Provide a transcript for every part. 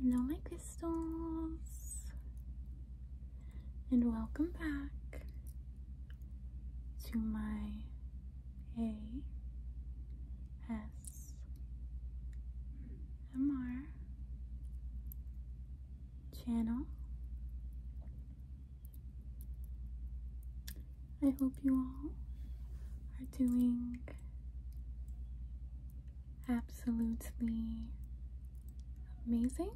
Hello, my crystals, and welcome back to my A S M R channel. I hope you all are doing absolutely amazing.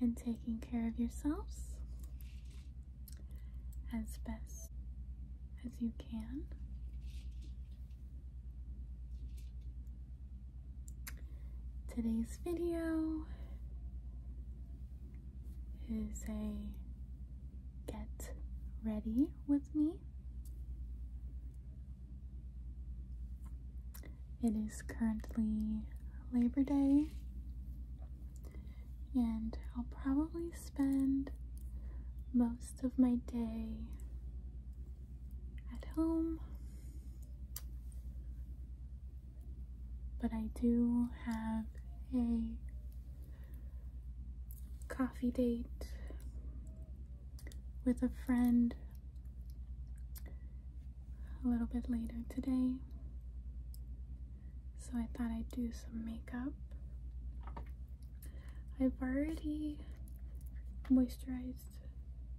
And taking care of yourselves as best as you can. Today's video is a get ready with me. It is currently Labor Day and I'll probably spend most of my day at home. But I do have a coffee date with a friend a little bit later today. So I thought I'd do some makeup. I've already moisturized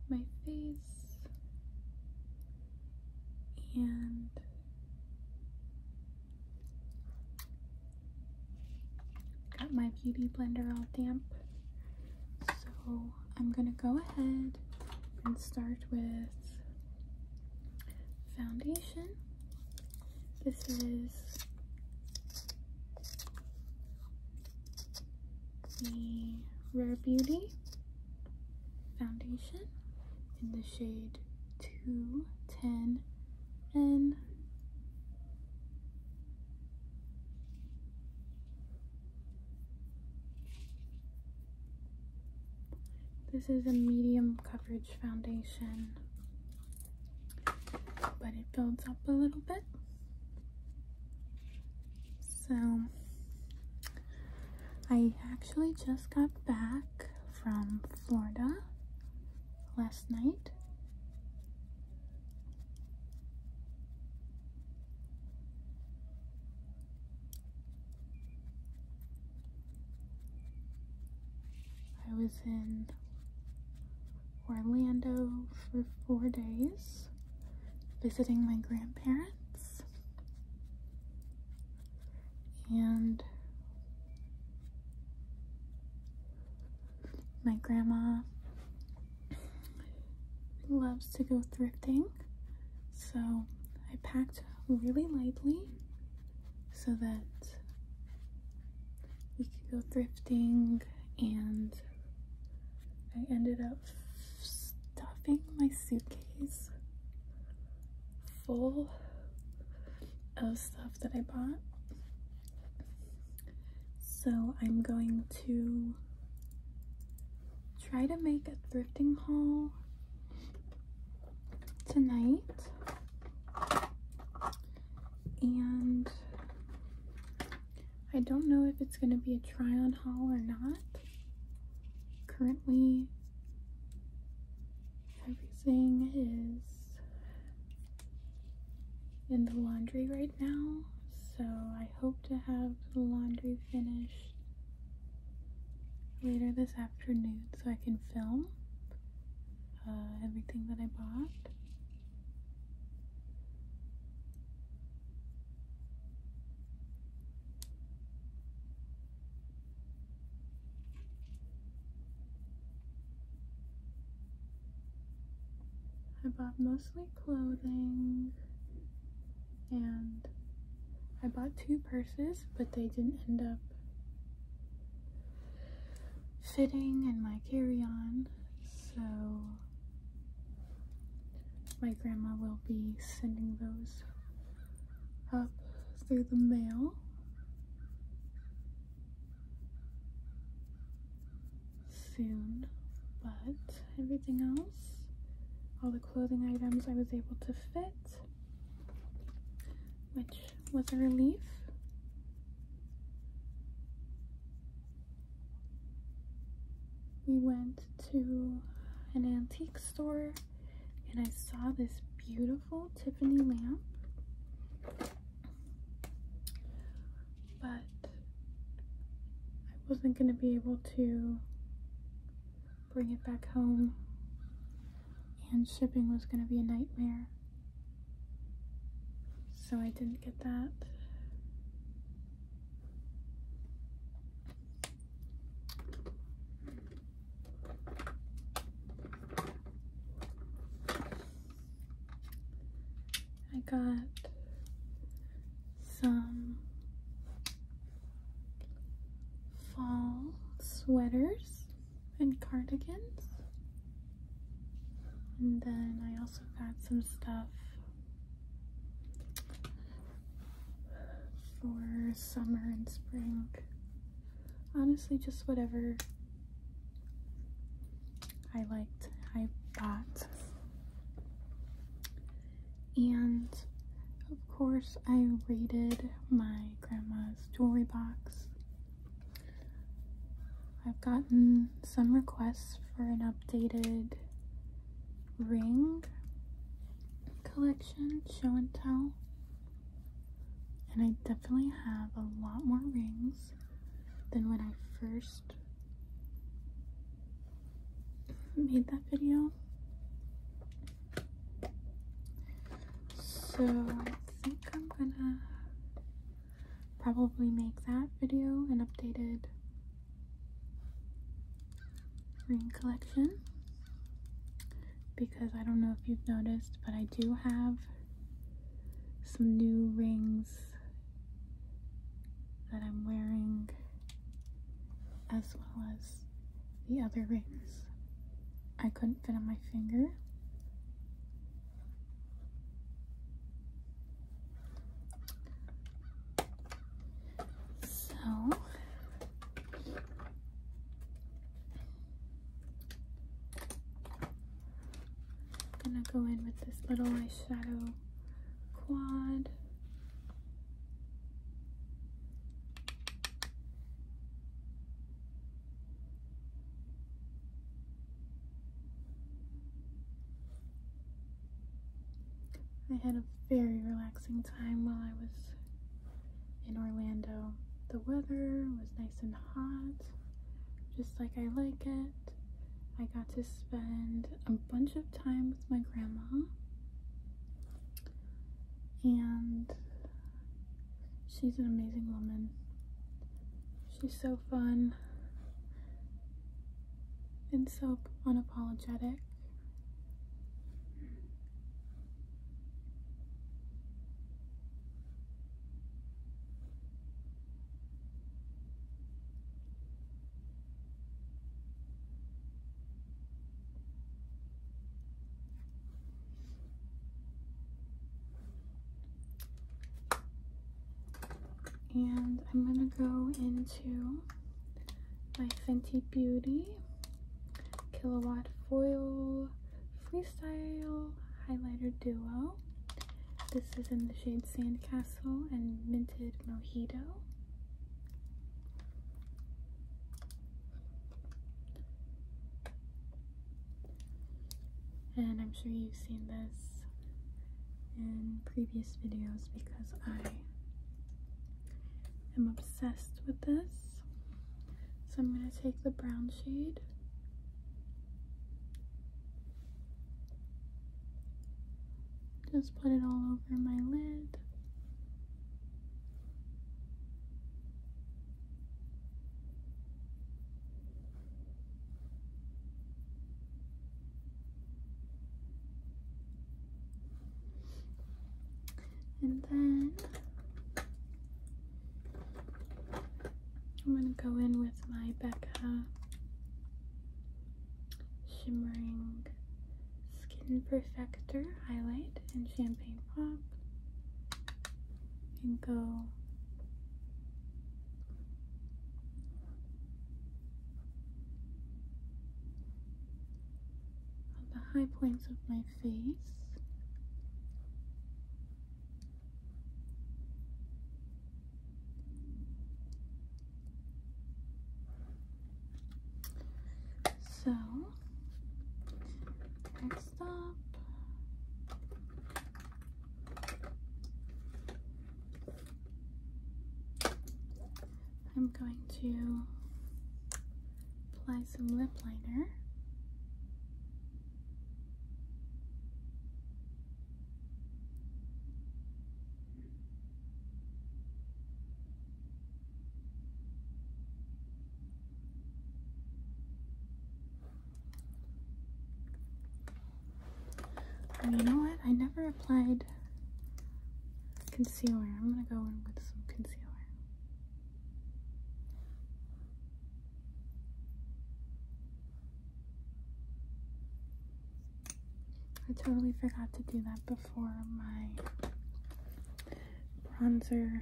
my face and got my beauty blender all damp. So I'm gonna go ahead and start with foundation. This is the Rare Beauty foundation in the shade 210 N. This is a medium coverage foundation, but it builds up a little bit. So, I actually just got back from Florida last night. I was in Orlando for four days visiting my grandparents and my grandma loves to go thrifting so I packed really lightly so that we could go thrifting and I ended up stuffing my suitcase full of stuff that I bought. So I'm going to try to make a thrifting haul tonight and I don't know if it's going to be a try on haul or not. Currently, everything is in the laundry right now, so I hope to have the laundry finished later this afternoon so I can film uh, everything that I bought. I bought mostly clothing and I bought two purses, but they didn't end up fitting in my carry-on, so my grandma will be sending those up through the mail. Soon, but everything else, all the clothing items I was able to fit, which was a relief. We went to an antique store and I saw this beautiful Tiffany lamp. But I wasn't going to be able to bring it back home and shipping was going to be a nightmare. So I didn't get that. I got some fall sweaters and cardigans. And then I also got some stuff for summer and spring. Honestly, just whatever I liked, I bought. And of course, I raided my grandma's jewelry box I've gotten some requests for an updated ring collection, show and tell. And I definitely have a lot more rings than when I first made that video. So I think I'm gonna probably make that video an updated ring collection because I don't know if you've noticed but I do have some new rings that I'm wearing as well as the other rings. I couldn't fit on my finger. So I'm gonna go in with this little eyeshadow quad. I had a very relaxing time while I was in Orlando. The weather was nice and hot, just like I like it. I got to spend a bunch of time with my grandma and she's an amazing woman. She's so fun and so unapologetic. And I'm going to go into my Fenty Beauty Kilowatt Foil Freestyle Highlighter Duo. This is in the shade Sandcastle and Minted Mojito. And I'm sure you've seen this in previous videos because I am obsessed with this. So I'm going to take the brown shade just put it all over my lid and then I'm going to go in with my Becca Shimmering Skin Perfector highlight and Champagne Pop and go on the high points of my face. So, next up, I'm going to apply some lip liner you know what? I never applied concealer. I'm gonna go in with some concealer. I totally forgot to do that before my bronzer.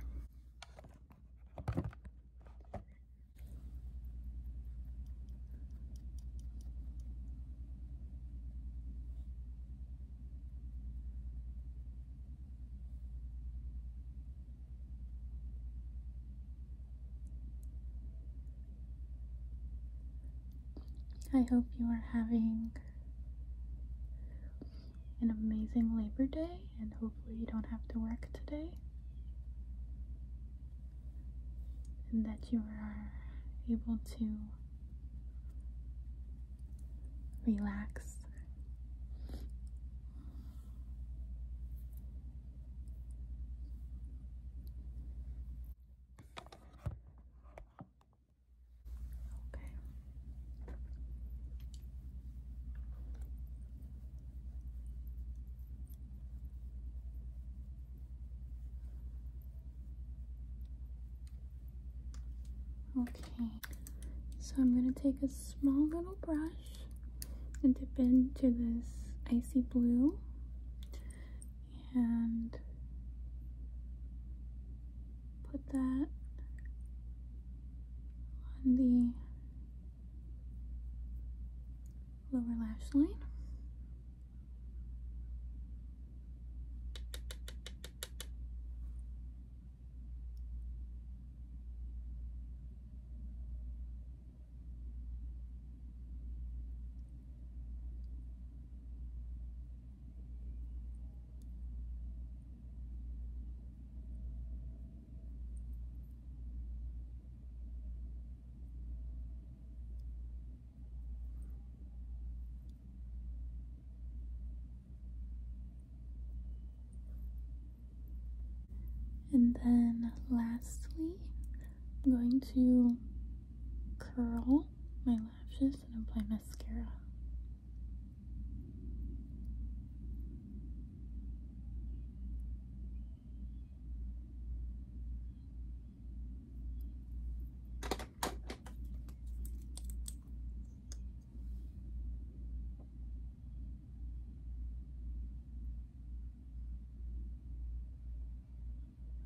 I hope you are having an amazing Labor Day and hopefully you don't have to work today. And that you are able to relax. Okay. Okay, so I'm going to take a small little brush and dip into this icy blue and put that on the lower lash line. And then lastly, I'm going to curl my lashes and apply mascara.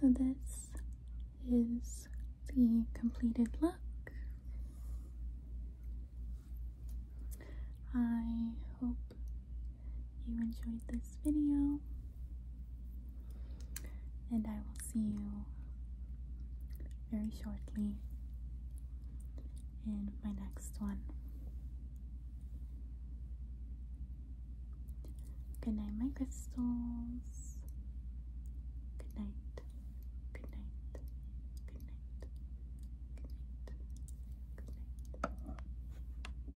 So this is the completed look. I hope you enjoyed this video, and I will see you very shortly in my next one. Good night, my crystals. Good night. Good night. Good night. Good night. Good night.